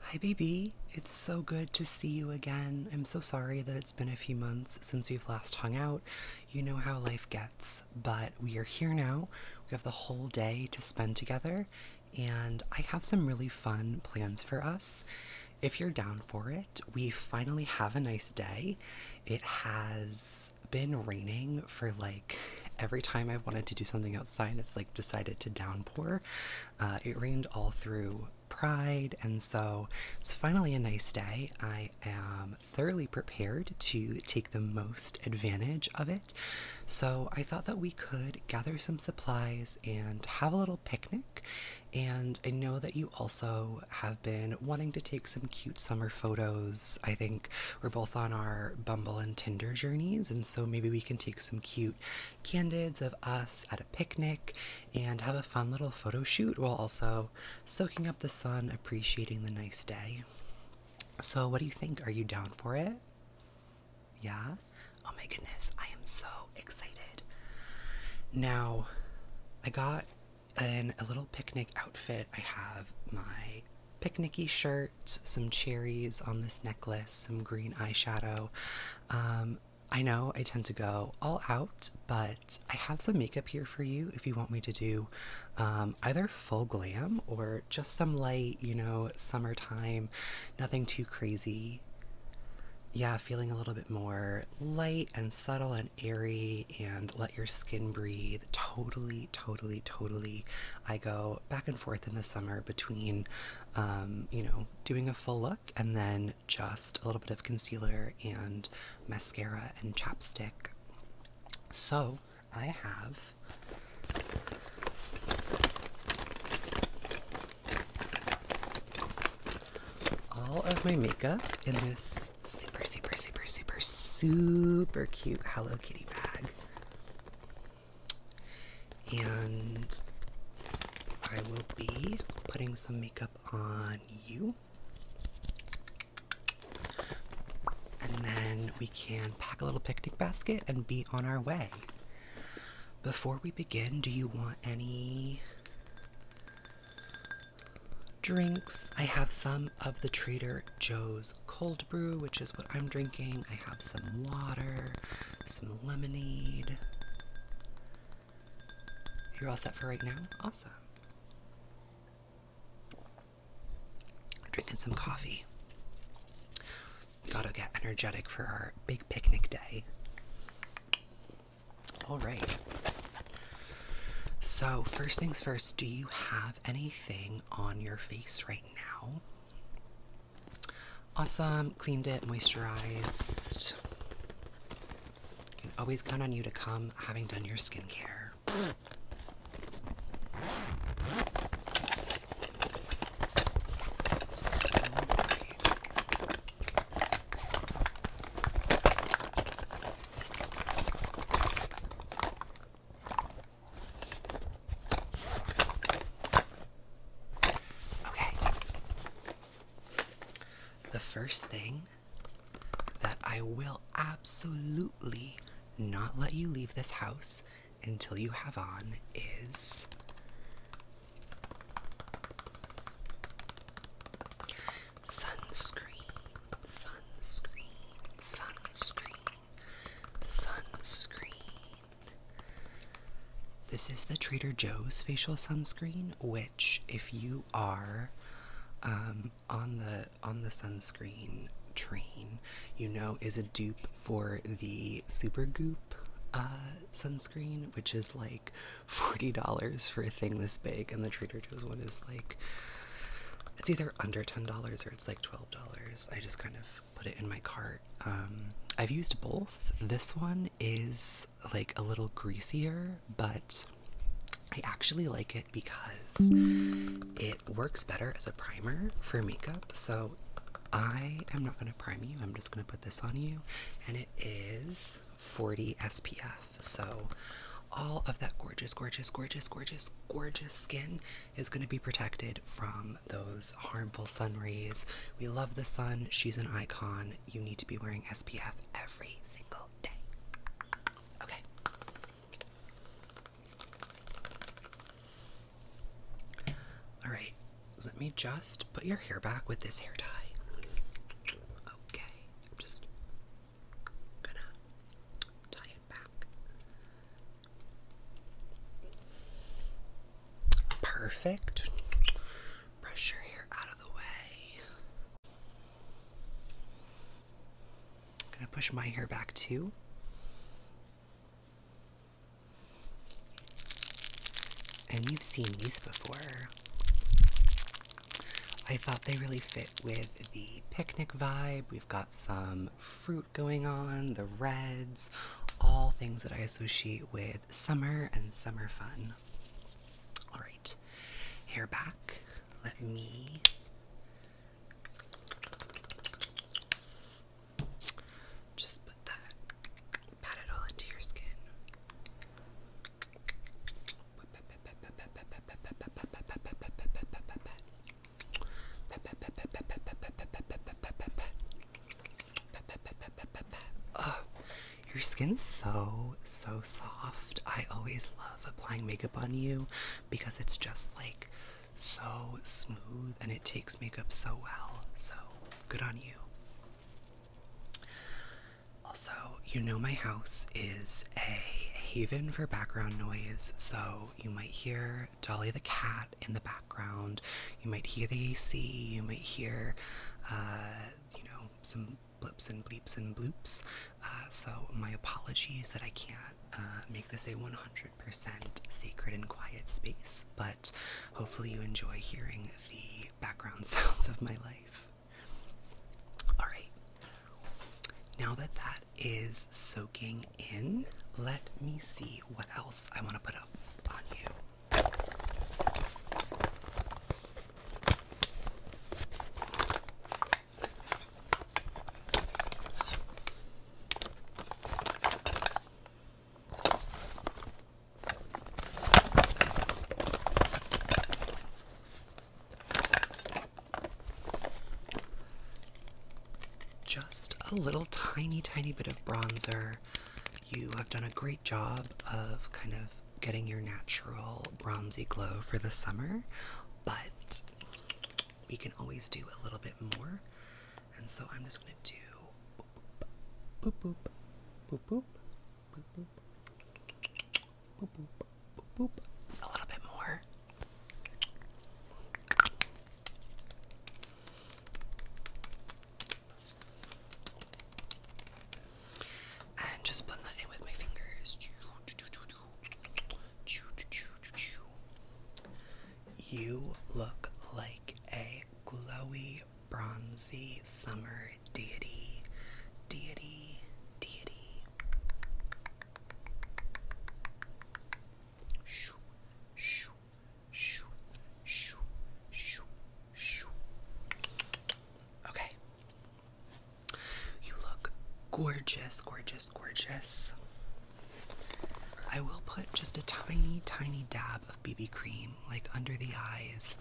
Hi, BB. It's so good to see you again. I'm so sorry that it's been a few months since we've last hung out. You know how life gets, but we are here now. We have the whole day to spend together, and I have some really fun plans for us. If you're down for it, we finally have a nice day. It has been raining for like every time I wanted to do something outside, it's like decided to downpour. Uh, it rained all through Pride, and so it's finally a nice day. I am thoroughly prepared to take the most advantage of it. So I thought that we could gather some supplies and have a little picnic. And I know that you also have been wanting to take some cute summer photos. I think we're both on our Bumble and Tinder journeys, and so maybe we can take some cute candids of us at a picnic and have a fun little photo shoot while also soaking up the sun, appreciating the nice day. So, what do you think? Are you down for it? Yeah? Oh my goodness, I am so excited. Now, I got in a little picnic outfit. I have my picnicky shirt, some cherries on this necklace, some green eyeshadow. Um, I know I tend to go all out, but I have some makeup here for you if you want me to do um, either full glam or just some light, you know, summertime, nothing too crazy. Yeah, feeling a little bit more light and subtle and airy and let your skin breathe. Totally, totally, totally I go back and forth in the summer between, um, you know, doing a full look and then just a little bit of concealer and mascara and chapstick. So I have. All of my makeup in this super, super, super, super, super cute Hello Kitty bag and I will be putting some makeup on you, and then we can pack a little picnic basket and be on our way. Before we begin, do you want any drinks? I have some of the Trader Joe's cold brew, which is what I'm drinking. I have some water, some lemonade. You're all set for right now? Awesome. Drinking some coffee. Gotta get energetic for our big picnic day. All right. So, first things first, do you have anything on your face right now. Awesome, cleaned it, moisturized. can always count on you to come having done your skincare. Okay. The first thing that I will absolutely not let you leave this house until you have on is sunscreen, sunscreen, sunscreen. Sunscreen. This is the Trader Joe's facial sunscreen, which if you are um, on the on the sunscreen train, you know is a dupe for the Super Goop uh, sunscreen, which is like forty dollars for a thing this big, and the Trader Joe's one is like it's either under ten dollars or it's like twelve dollars. I just kind of put it in my cart. Um, I've used both. This one is like a little greasier, but I actually like it because it works better as a primer for makeup. So I am not going to prime you. I'm just going to put this on you, and it is 40 SPF. So all of that gorgeous, gorgeous, gorgeous, gorgeous, gorgeous skin is going to be protected from those harmful sun rays. We love the sun. She's an icon. You need to be wearing SPF every single day. Okay. All right. Let me just put your hair back with this hair tie. Okay. just gonna tie it back. Perfect. Brush your hair out of the way. I'm gonna push my hair back too. And you've seen these before. I thought they really fit with the picnic vibe. We've got some fruit going on, the reds, all things that I associate with summer and summer fun. All right, hair back. Let me just put that, pat it all into your skin. Oh, your skin's so so soft. I always love applying makeup on you because it's just like so smooth and it takes makeup so well. So good on you. Also, you know my house is a haven for background noise, so you might hear Dolly the cat in the background. You might hear the AC. You might hear, uh, you know, some blips and bleeps and bloops. Uh, so my apologies that I can't uh, make this a 100% sacred and quiet space, but hopefully you enjoy hearing the background sounds of my life. All right. Now that that is soaking in, let me see what else I want to put up on you. Just a little tiny, tiny bit of bronzer. You have done a great job of kind of getting your natural bronzy glow for the summer, but we can always do a little bit more. And so I'm just going to do boop boop boop boop boop boop boop Boop, boop, boop, boop. A little bit more. And just blend that in with my fingers. You look like a glowy, bronzy summer deity. Deity, deity. Shoo, shoo, shoo, shoo, shoo, shoo. Okay. You look gorgeous, gorgeous, gorgeous. I will put just a tiny, tiny dab of BB cream like under the eyes,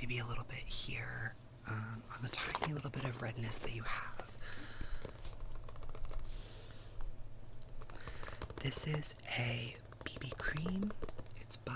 maybe a little bit here, um, on the tiny little bit of redness that you have. This is a BB cream. It's by,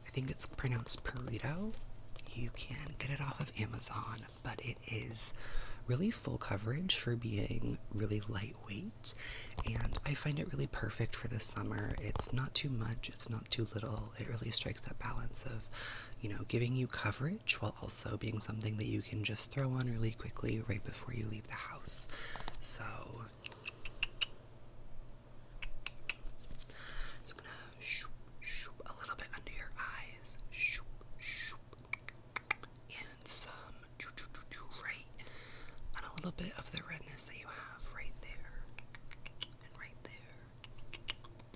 I think it's pronounced Perito. You can get it off of Amazon, but it is really full coverage for being really lightweight. And I find it really perfect for the summer. It's not too much, it's not too little. It really strikes that balance of, you know, giving you coverage while also being something that you can just throw on really quickly right before you leave the house. So a little bit under your eyes, and some right on a little bit of the redness that you have right there and right there.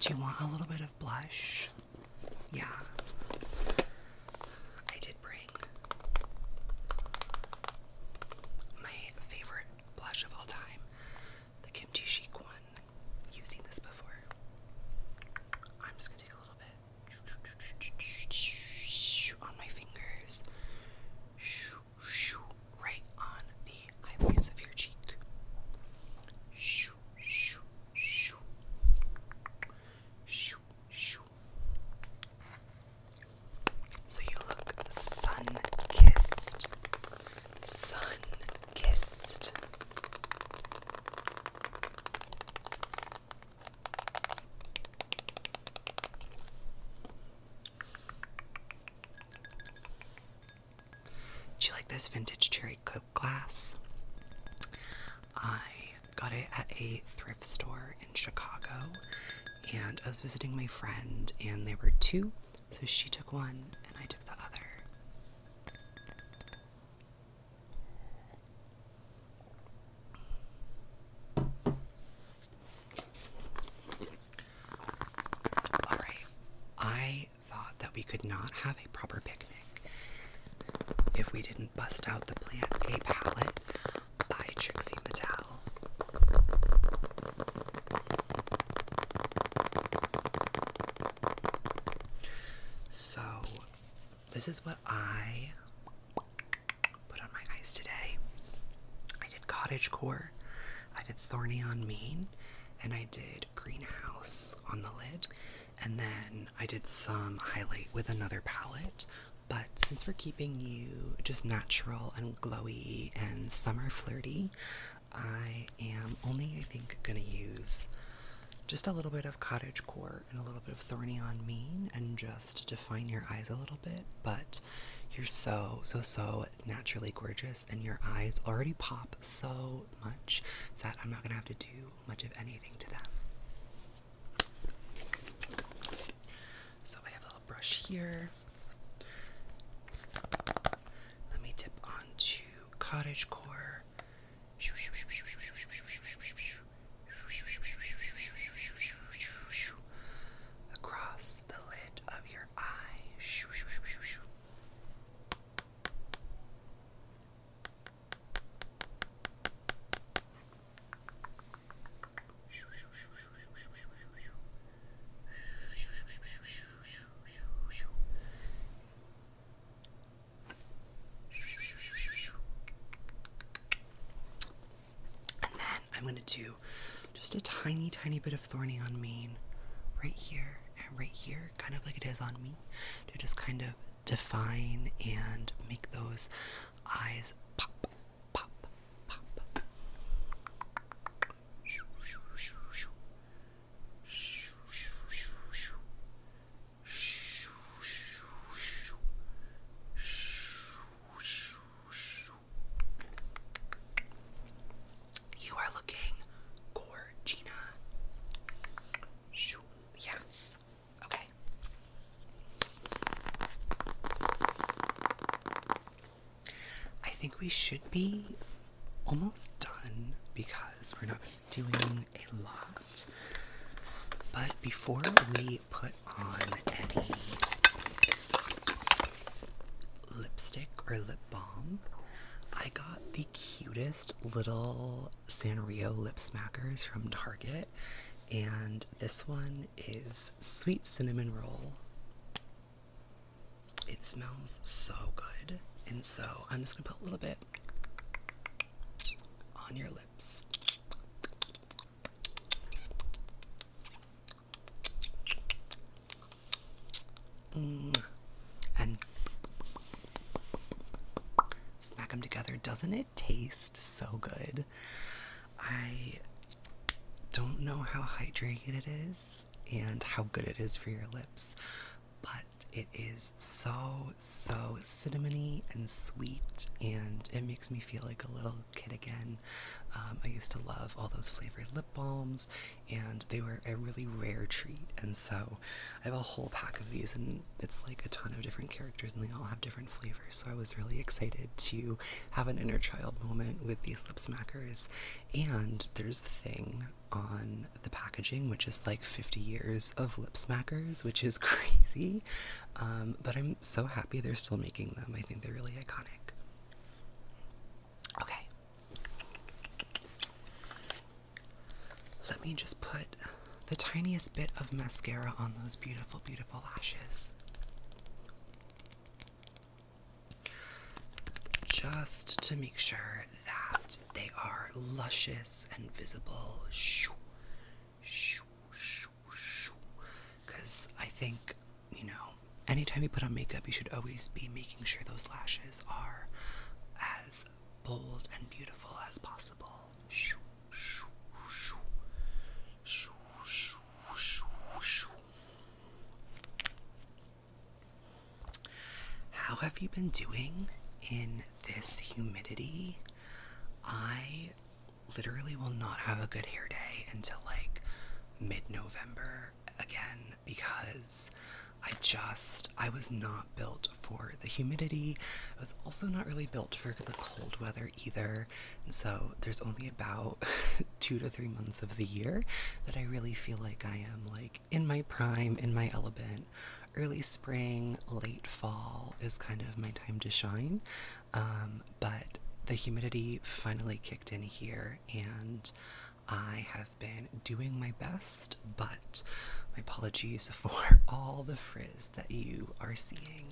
Do you want a little bit of blush? Yeah. I did bring my favorite blush of all time, the Kimchi Chic one. You've seen this before. I'm just gonna take a little bit on my fingers, right on the Shoo, shoo, shoo. Shoo, shoo. So you look sun kissed, sun kissed. Do you like this vintage cherry Coke glass? I got it at a thrift store in Chicago, and I was visiting my friend, and there were two, so she took one and I took the other. All right, I thought that we could not have a proper picnic if we didn't bust out the Plant A palette by Trixie Metal. So, this is what I put on my eyes today. I did cottage core I did Thorny on mean, and I did Greenhouse on the lid, and then I did some highlight with another palette. But since we're keeping you just natural and glowy and summer flirty, I am only, I think, gonna use just a little bit of cottage core and a little bit of thorny on mean and just define your eyes a little bit. But you're so, so, so naturally gorgeous and your eyes already pop so much that I'm not gonna have to do much of anything to them. So I have a little brush here. Let me dip onto cottage core. Across the lid of your eye. And then I'm going to do just a tiny, tiny bit of thorny on mane right here and right here, kind of like it is on me, to just kind of define and make those eyes pop, pop, pop. You are looking Gorgina. Yes. Okay. I think we should be almost done because we're not doing a lot. But before we put on any lipstick or lip balm. I got the cutest little Sanrio lip smackers from Target, and this one is sweet cinnamon roll. It smells so good, and so I'm just gonna put a little bit on your lips. Mm. And smack them together. Doesn't it taste so good? I don't know how hydrated it is and how good it is for your lips, but it is so, so cinnamony and sweet, and it makes me feel like a little kid again. Um, I used to love all those flavored lip balms and they were a really rare treat. And so I have a whole pack of these, and it's like a ton of different characters, and they all have different flavors. So I was really excited to have an inner child moment with these lip smackers. And there's a Thing on the packaging, which is like 50 years of lip smackers, which is crazy. Um, but I'm so happy they're still making them. I think they're really iconic. Okay. Let me just put the tiniest bit of mascara on those beautiful, beautiful lashes. Just to make sure that they are luscious and visible. Because I think you know, anytime you put on makeup, you should always be making sure those lashes are as bold and beautiful as possible. How have you been doing in this humidity? I literally will not have a good hair day until like mid November again because I just I was not built for the humidity. I was also not really built for the cold weather either. so there's only about two to three months of the year that I really feel like I am like in my prime, in my element. Early spring, late fall is kind of my time to shine. Um, but the humidity finally kicked in here and I have been doing my best, but my apologies for all the frizz that you are seeing.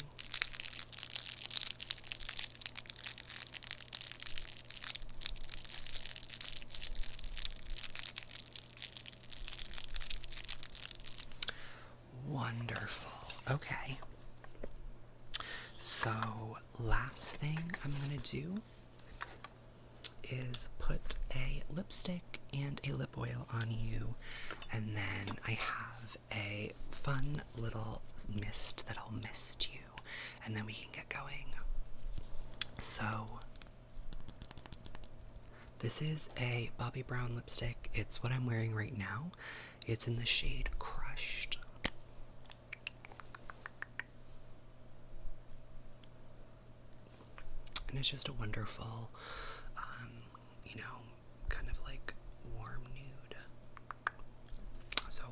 Wonderful. Okay. So, last thing I'm going to do is put a lipstick and a lip oil on you, and then I have a fun little mist that'll mist you, and then we can get going. So, this is a Bobbi Brown lipstick. It's what I'm wearing right now. It's in the shade Crushed. And it's just a wonderful, um, you know, kind of like warm nude. So,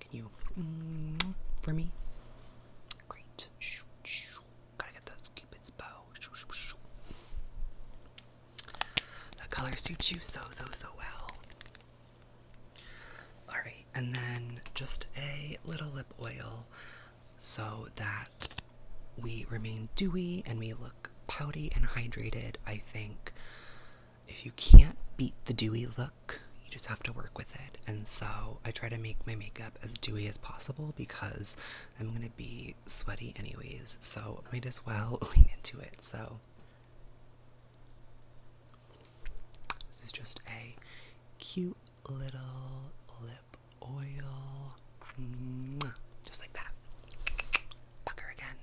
can you for me? Great. Gotta get those Cupid's bow. That color suits you so, so, so well. Alright, and then just a little lip oil so that we remain dewy and we look pouty and hydrated. I think if you can't beat the dewy look, you just have to work with it. And so I try to make my makeup as dewy as possible because I'm gonna be sweaty anyways, so might as well lean into it. So this is just a cute little lip oil. Just like that. Pucker again.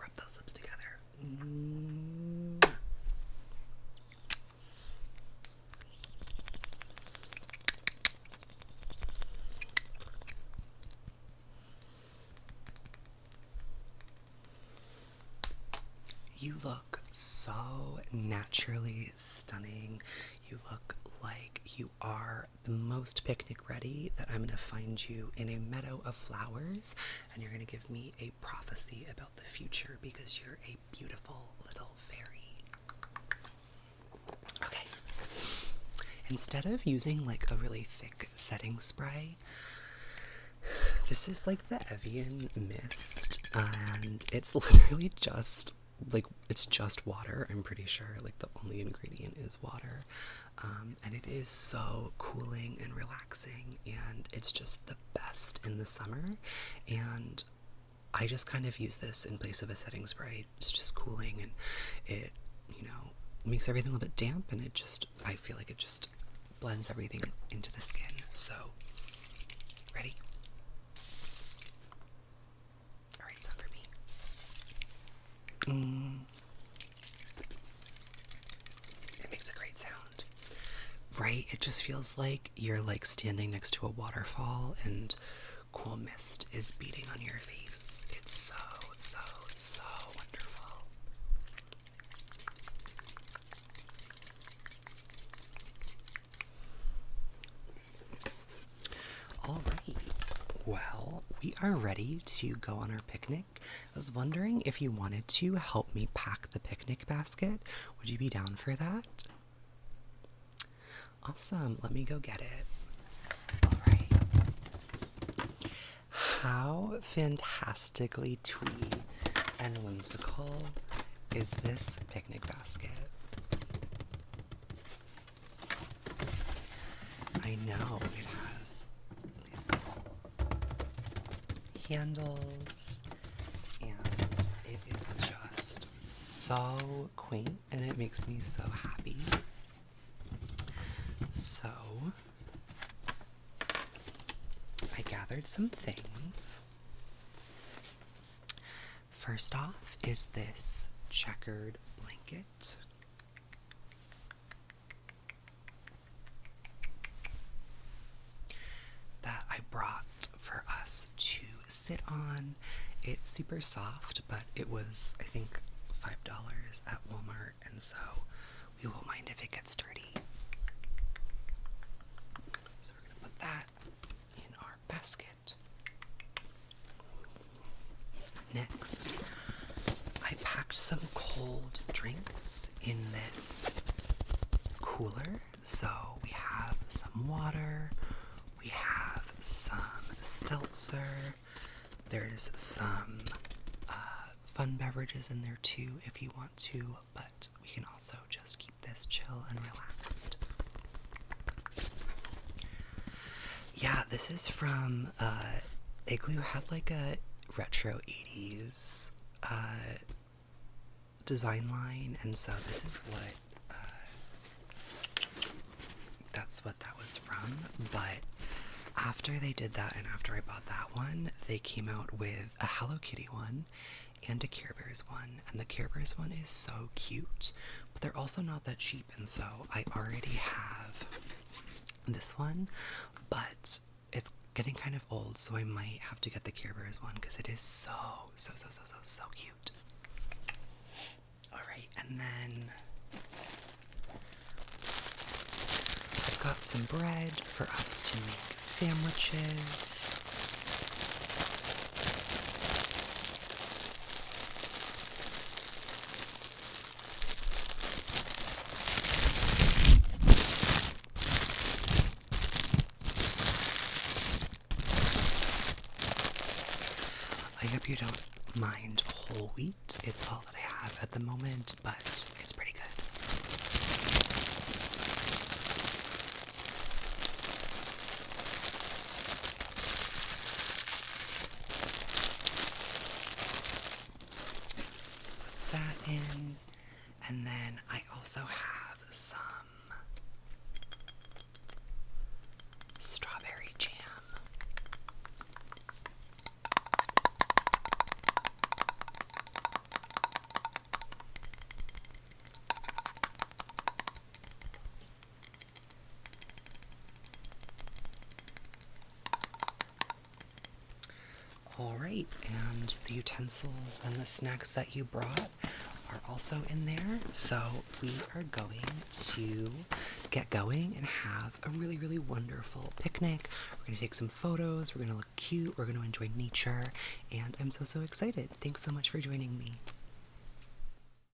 Rub those lips together. You look so naturally stunning. You look like you are the most picnic ready that I'm gonna find you in a meadow of flowers and you're gonna give me a prophecy about the future because you're a beautiful little fairy. Okay. Instead of using like a really thick setting spray, this is like the Evian mist and it's literally just like it's just water, I'm pretty sure. Like the only ingredient is water. Um, and it is so cooling and relaxing, and it's just the best in the summer. And I just kind of use this in place of a setting spray. It's just cooling and it, you know, makes everything a little bit damp, and it just, I feel like it just blends everything into the skin. So, ready? Alright, some for me. It mm. makes a great sound. Right? It just feels like you're like standing next to a waterfall and cool mist is beating on your face. It's so, so, so wonderful. All right. Well, we are ready to go on our picnic. I was wondering if you wanted to help me pack the picnic basket. Would you be down for that? Awesome. Let me go get it. All right. How fantastically twee and whimsical is this picnic basket? I know it has handles, and it is just so quaint, and it makes me so happy. So, I gathered some things. First off, is this checkered blanket that I brought for us to sit on. It's super soft, but it was, I think, $5 at Walmart, and so we won't mind if it gets dirty. So we're going to put that in our basket. Next, I packed some cold drinks in this cooler. So we have some water, we have some seltzer, there's some uh, fun beverages in there too if you want to, but we can also just keep this chill and relaxed. Yeah, this is from uh, Igloo had like a retro 80s uh, design line, and so this is what uh, that's what that was from. But after they did that, and after I bought that one, they came out with a Hello Kitty one and a Care Bears one, and the Care Bears one is so cute, but they're also not that cheap and so I already have this one, but it's getting kind of old, so I might have to get the Care Bears one because it is so, so, so, so, so, so cute. Alright, and then I've got some bread for us to make sandwiches. I hope you don't mind whole wheat. It's all that I have at the moment, but it's pretty good put that in. And then I also have some strawberry jam. All right, and the utensils and the snacks that you brought are also in there. So we are going to get going and have a really, really wonderful picnic. We're going to take some photos, we're going to look cute, we're going to enjoy nature, and I'm so, so excited. Thanks so much for joining me.